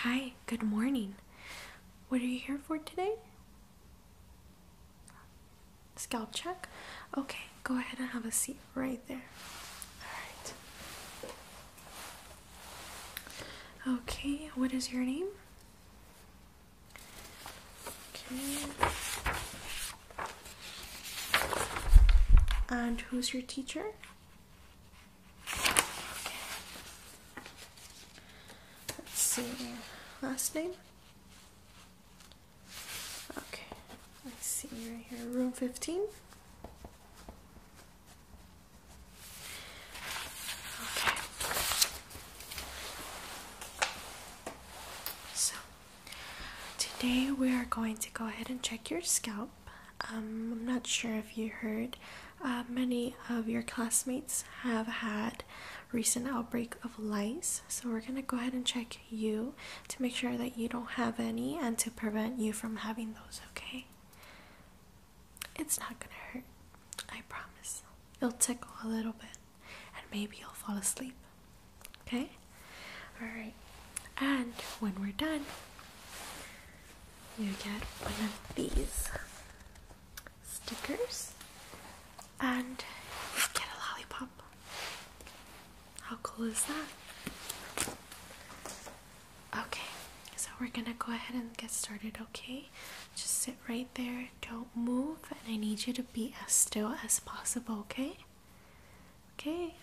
Hi, good morning. What are you here for today? Scalp check? Okay, go ahead and have a seat right there. Alright. Okay, what is your name? And who's your teacher? Let's see. Last name? Okay. Let's see right here. Room 15? Okay. So, today we are going to go ahead and check your scalp. Um, I'm not sure if you heard, uh, many of your classmates have had recent outbreak of lice. So we're going to go ahead and check you to make sure that you don't have any and to prevent you from having those, okay? It's not gonna hurt. I promise. It'll tickle a little bit and maybe you'll fall asleep. Okay? Alright. And when we're done, you get one of these stickers and you get a lollipop. How cool is that? Okay, so we're gonna go ahead and get started, okay? Just sit right there, don't move, and I need you to be as still as possible, okay? Okay.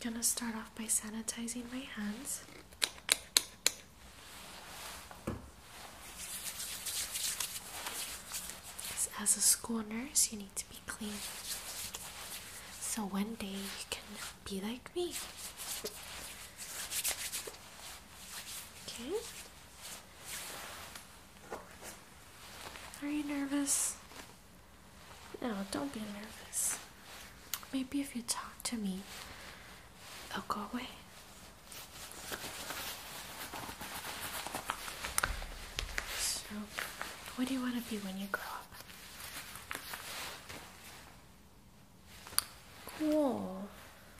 gonna start off by sanitizing my hands. As a school nurse, you need to be clean. So one day you can be like me. Okay. Are you nervous? No, don't be nervous. Maybe if you talk to me, i will go away. So, what do you want to be when you grow up? Cool.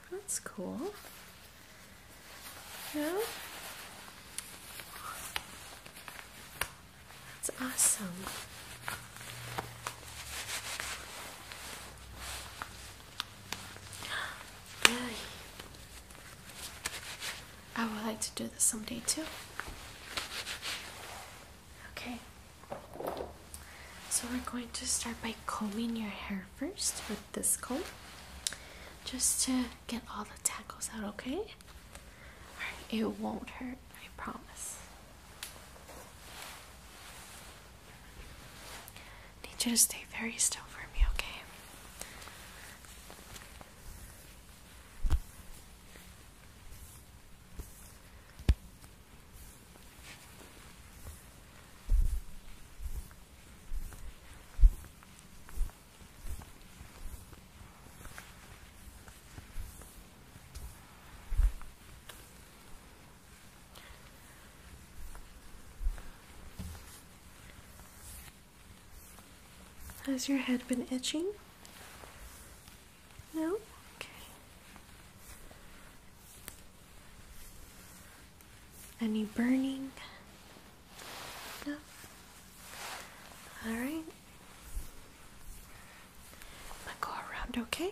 That's cool. Yeah. That's awesome. Really? I would like to do this someday too. Okay. So we're going to start by combing your hair first with this comb. Just to get all the tackles out, okay? it won't hurt, I promise. need you to stay very still for me, okay? Has your head been itching? No? Okay. Any burning? No? Alright. I'm gonna go around, okay?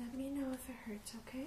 Let me know if it hurts, okay?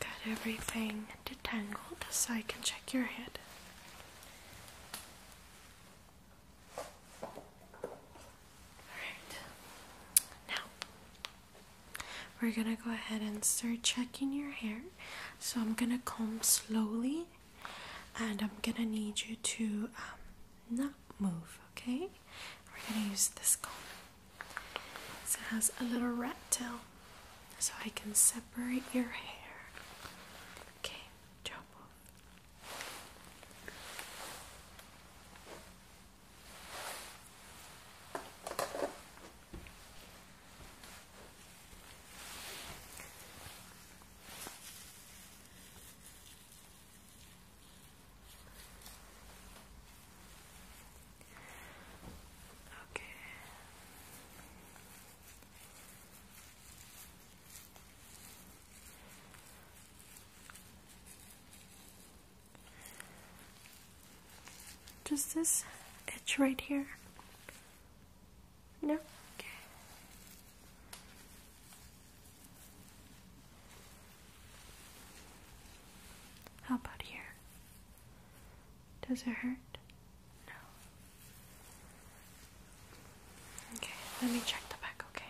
Got everything detangled so I can check your head. Alright, now we're gonna go ahead and start checking your hair. So I'm gonna comb slowly and I'm gonna need you to um, not move, okay? We're going to use this comb. So it has a little rat tail, so I can separate your hair. Okay, chop Okay. Does this itch right here? Nope. Okay. How about here? Does it hurt? No. Okay, let me check the back, okay?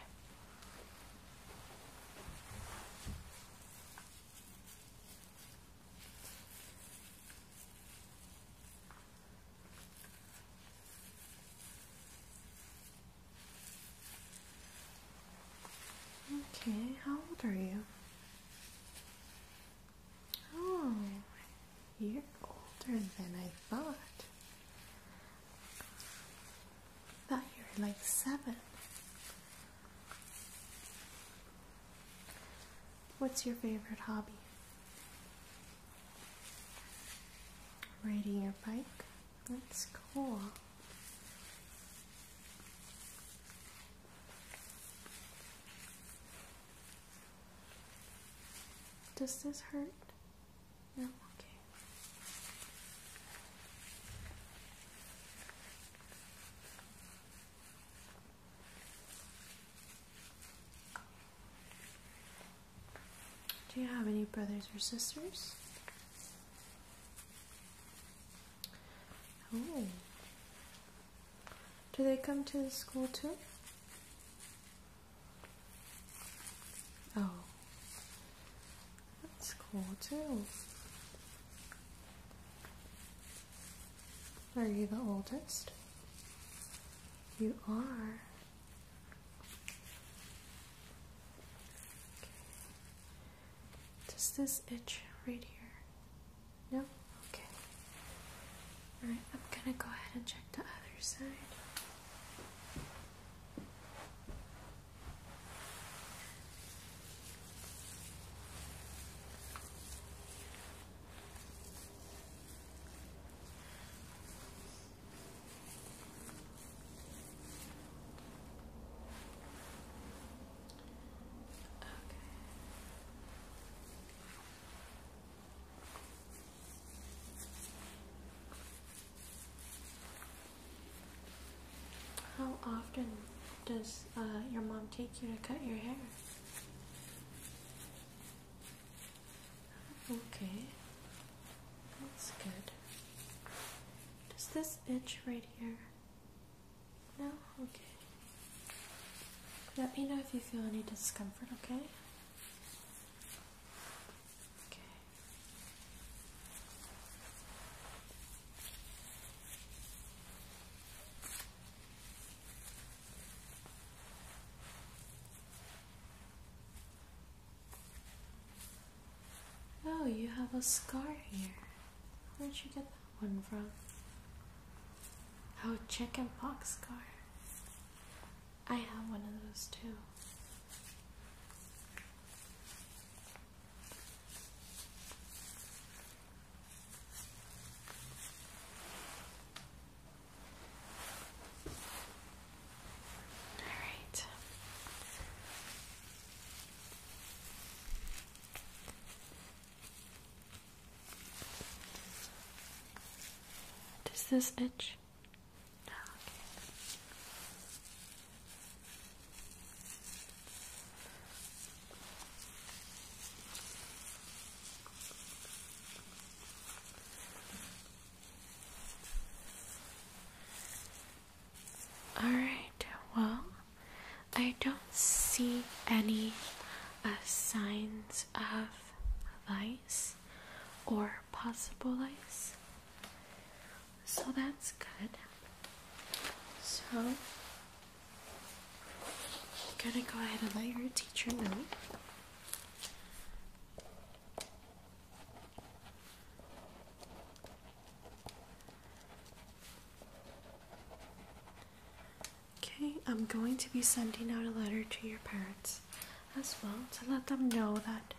Okay, how old are you? Oh, you're older than I thought. thought you were like seven. What's your favorite hobby? Riding your bike? That's cool. Does this hurt? No, okay. Do you have any brothers or sisters? Oh. Do they come to the school too? Oh. That's cool too. Are you the oldest? You are. Okay. Does this itch right here? No? Okay. Alright, I'm gonna go ahead and check the other side. How often does uh, your mom take you to cut your hair? Okay, that's good. Does this itch right here? No? Okay. Let me know if you feel any discomfort, okay? Okay. Oh, you have a scar here. Where'd you get that one from? Oh, chicken pox scar. I have one of those too. All right. Does this itch? No, Alright, well, I don't see any uh, signs of lice or possible lice, so that's good. So, I'm gonna go ahead and let your teacher know. Okay, I'm going to be sending out a letter to your parents as well to let them know that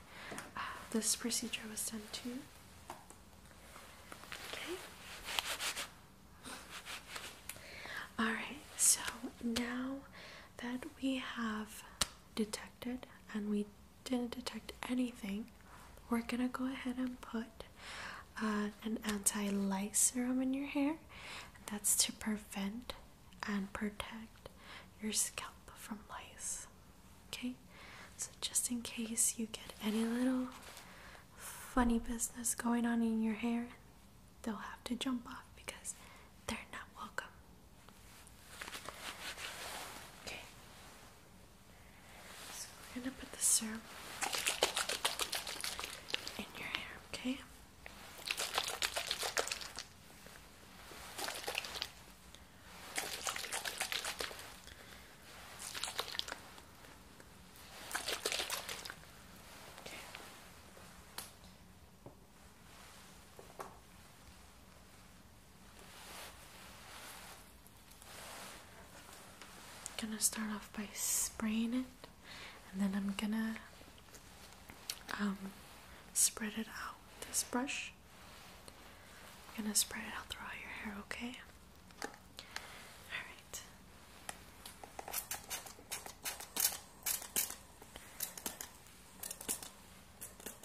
uh, this procedure was done to you. Okay. Alright, so now that we have detected and we didn't detect anything, we're gonna go ahead and put uh, an anti lice serum in your hair. that's to prevent and protect your scalp from lice. Okay, so just in case you get any little funny business going on in your hair, they'll have to jump off because they're not welcome. Okay. So we're gonna put the serum in your hair, Okay. I'm gonna start off by spraying it and then I'm gonna um, spread it out with this brush. I'm gonna spread it out throughout your hair, okay? Alright.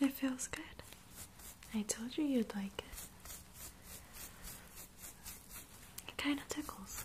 It feels good. I told you you'd like it. It kind of tickles.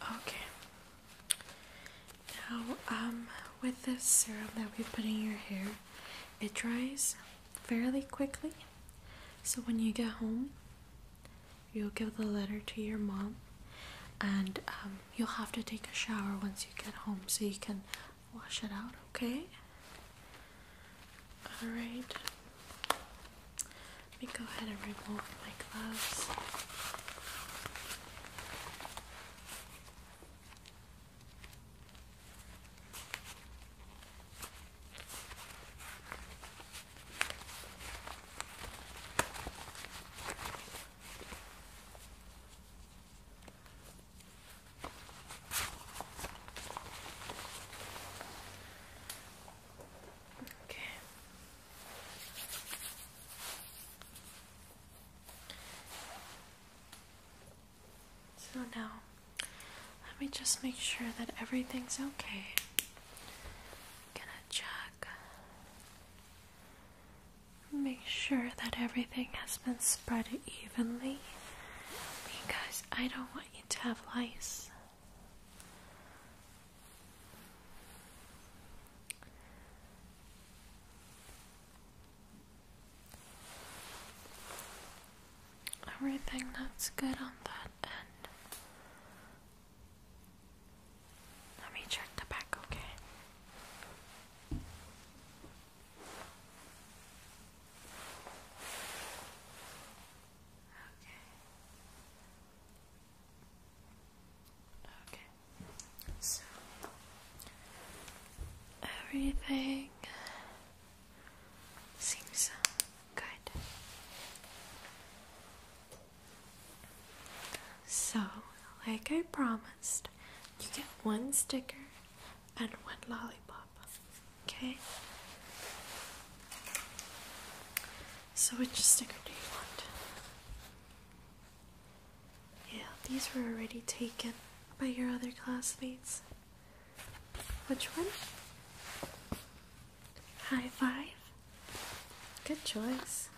Okay. Now, um, with this serum that we put in your hair, it dries fairly quickly. So when you get home, you'll give the letter to your mom, and um, you'll have to take a shower once you get home so you can wash it out. Okay. All right. Let me go ahead and remove my gloves. Okay. So now, let me just make sure that everything's okay. gonna check. Make sure that everything has been spread evenly because I don't want you to have lice. Everything that's good on that end. Let me check the back, okay? Okay. Okay, so everything seems good. So, like I promised, you get one sticker and one lollipop, okay? So, which sticker do you want? Yeah, these were already taken by your other classmates. Which one? High five? Good choice.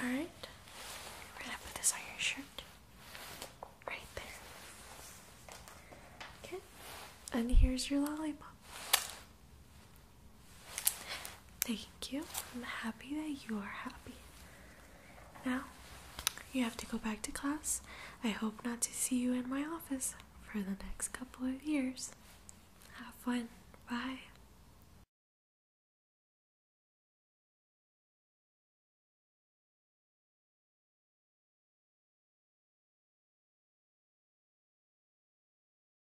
Alright, we're gonna put this on your shirt. Right there. Okay, and here's your lollipop. Thank you. I'm happy that you are happy. Now, you have to go back to class. I hope not to see you in my office for the next couple of years. Have fun. Bye.